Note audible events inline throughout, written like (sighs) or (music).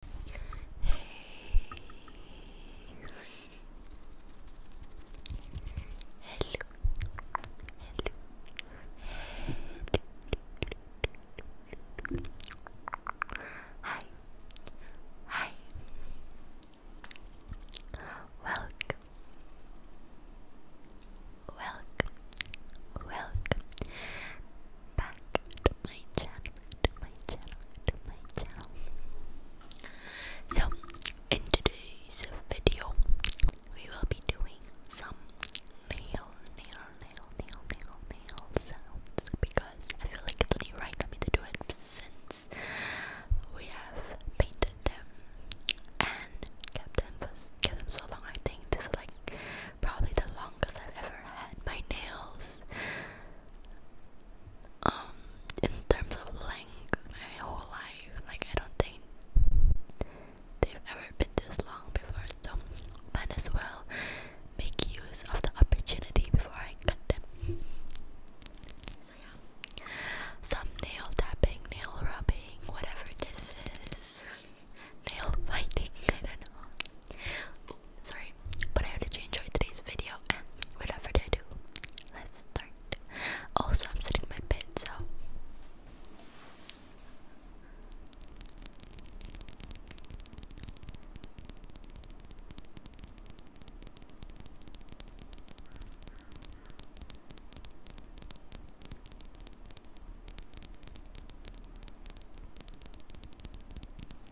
hello, hi, hi, welcome, welcome, welcome back to my channel, to my channel, to my channel. So, in today's video, we will be doing some nail, nail, nail, nail, nail, nail sounds because I feel like it's only right for me to do it since we have painted them and kept them kept them so long. I think this is like probably the longest I've ever had my nails um in terms of length my whole life like I don't think they've ever been this long before so might as well make use of the opportunity before I cut them so yeah some nail tapping nail rubbing whatever this is nail fighting I don't know Sorry, but I hope that you enjoyed today's video and whatever further do, let's start. Also, I'm sitting in my bed, so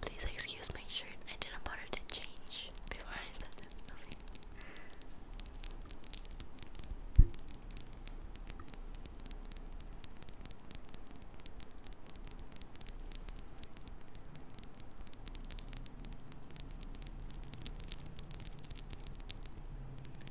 Please excuse my shirt. I didn't bother to change before I left the building.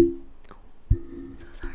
Oh, so sorry.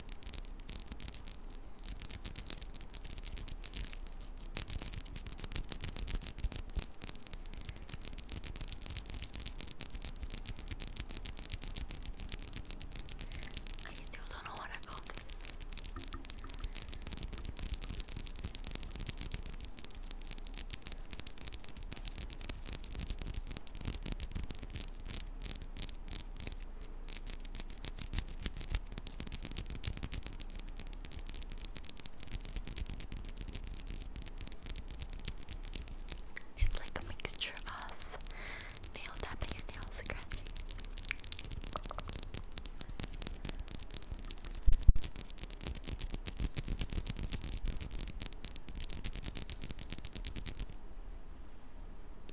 I still don't know what I call this. I it's like a mixture of nail tapping and nail scratching.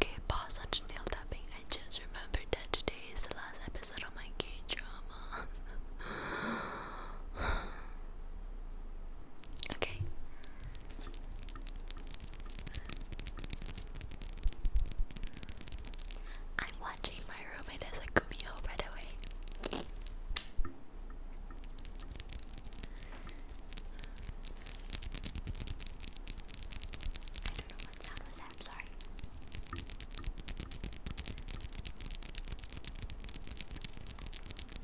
Okay, pause on nail tapping. I just remembered that today is the last episode of my K drama. (sighs) okay, I'm watching my roommate as a Kumio, by away. I don't know what sound was I'm sorry.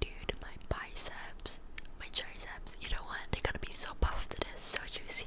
Dude, my biceps, my triceps, you know what? They're gonna be so puffed after this, so juicy.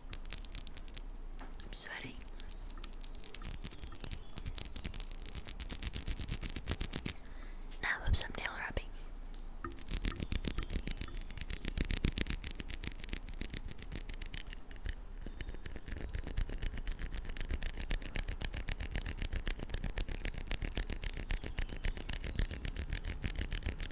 I'm sweating. Now some nail rubbing.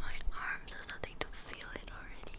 My arms are starting to feel it already.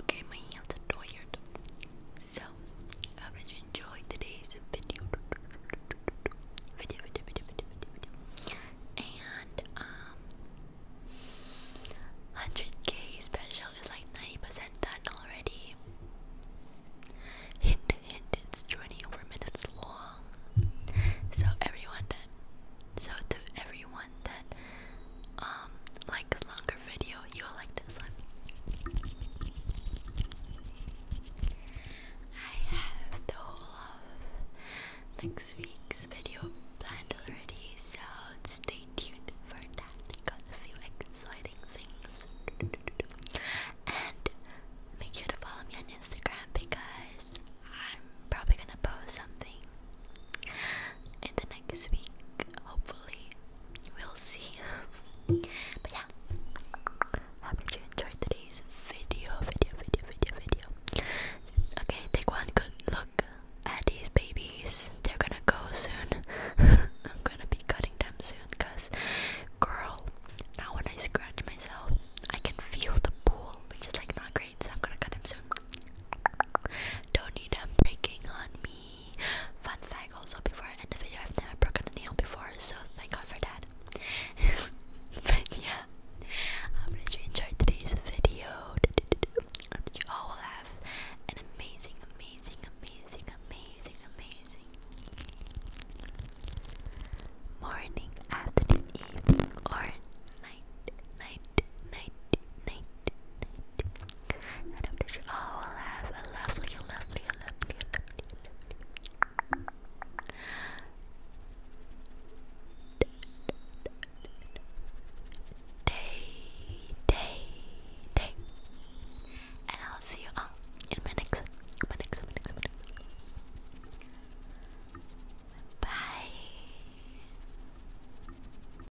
Okay, my hands are tired. So, I hope you enjoyed today's video. Video, video, video, video, video, video. And, um, 100k special is like 90% done already. Hint, hint, it's 24 minutes long. So, everyone done. So, to everyone that um longer video, you'll like this one. I have the whole of next week's video planned already, so stay tuned for that. Got a few exciting things. And make sure to follow me on Instagram because I'm probably gonna post something in the next week. Hopefully, we'll see. (laughs) but yeah, hope you enjoyed today's video, video, video, video, video. Okay, take one good look at these babies. They're gonna go soon. (laughs) I'm gonna be cutting them soon, cause girl, now when I scratch myself, I can feel the pool, which is like not great. So I'm gonna cut them soon. Don't need them breaking on me. Fun fact also before I end the video, I've never broken a nail before, so thank God for that. (laughs) yeah, I hope that you enjoyed today's video. I hope that you all will have an amazing, amazing, amazing, amazing, amazing morning, afternoon, evening, or night, night, night, night, and after she, oh, we have a lovely, lovely, lovely, lovely, Day, day, day. And I'll see you all in my next, my next, my next, my next. Bye.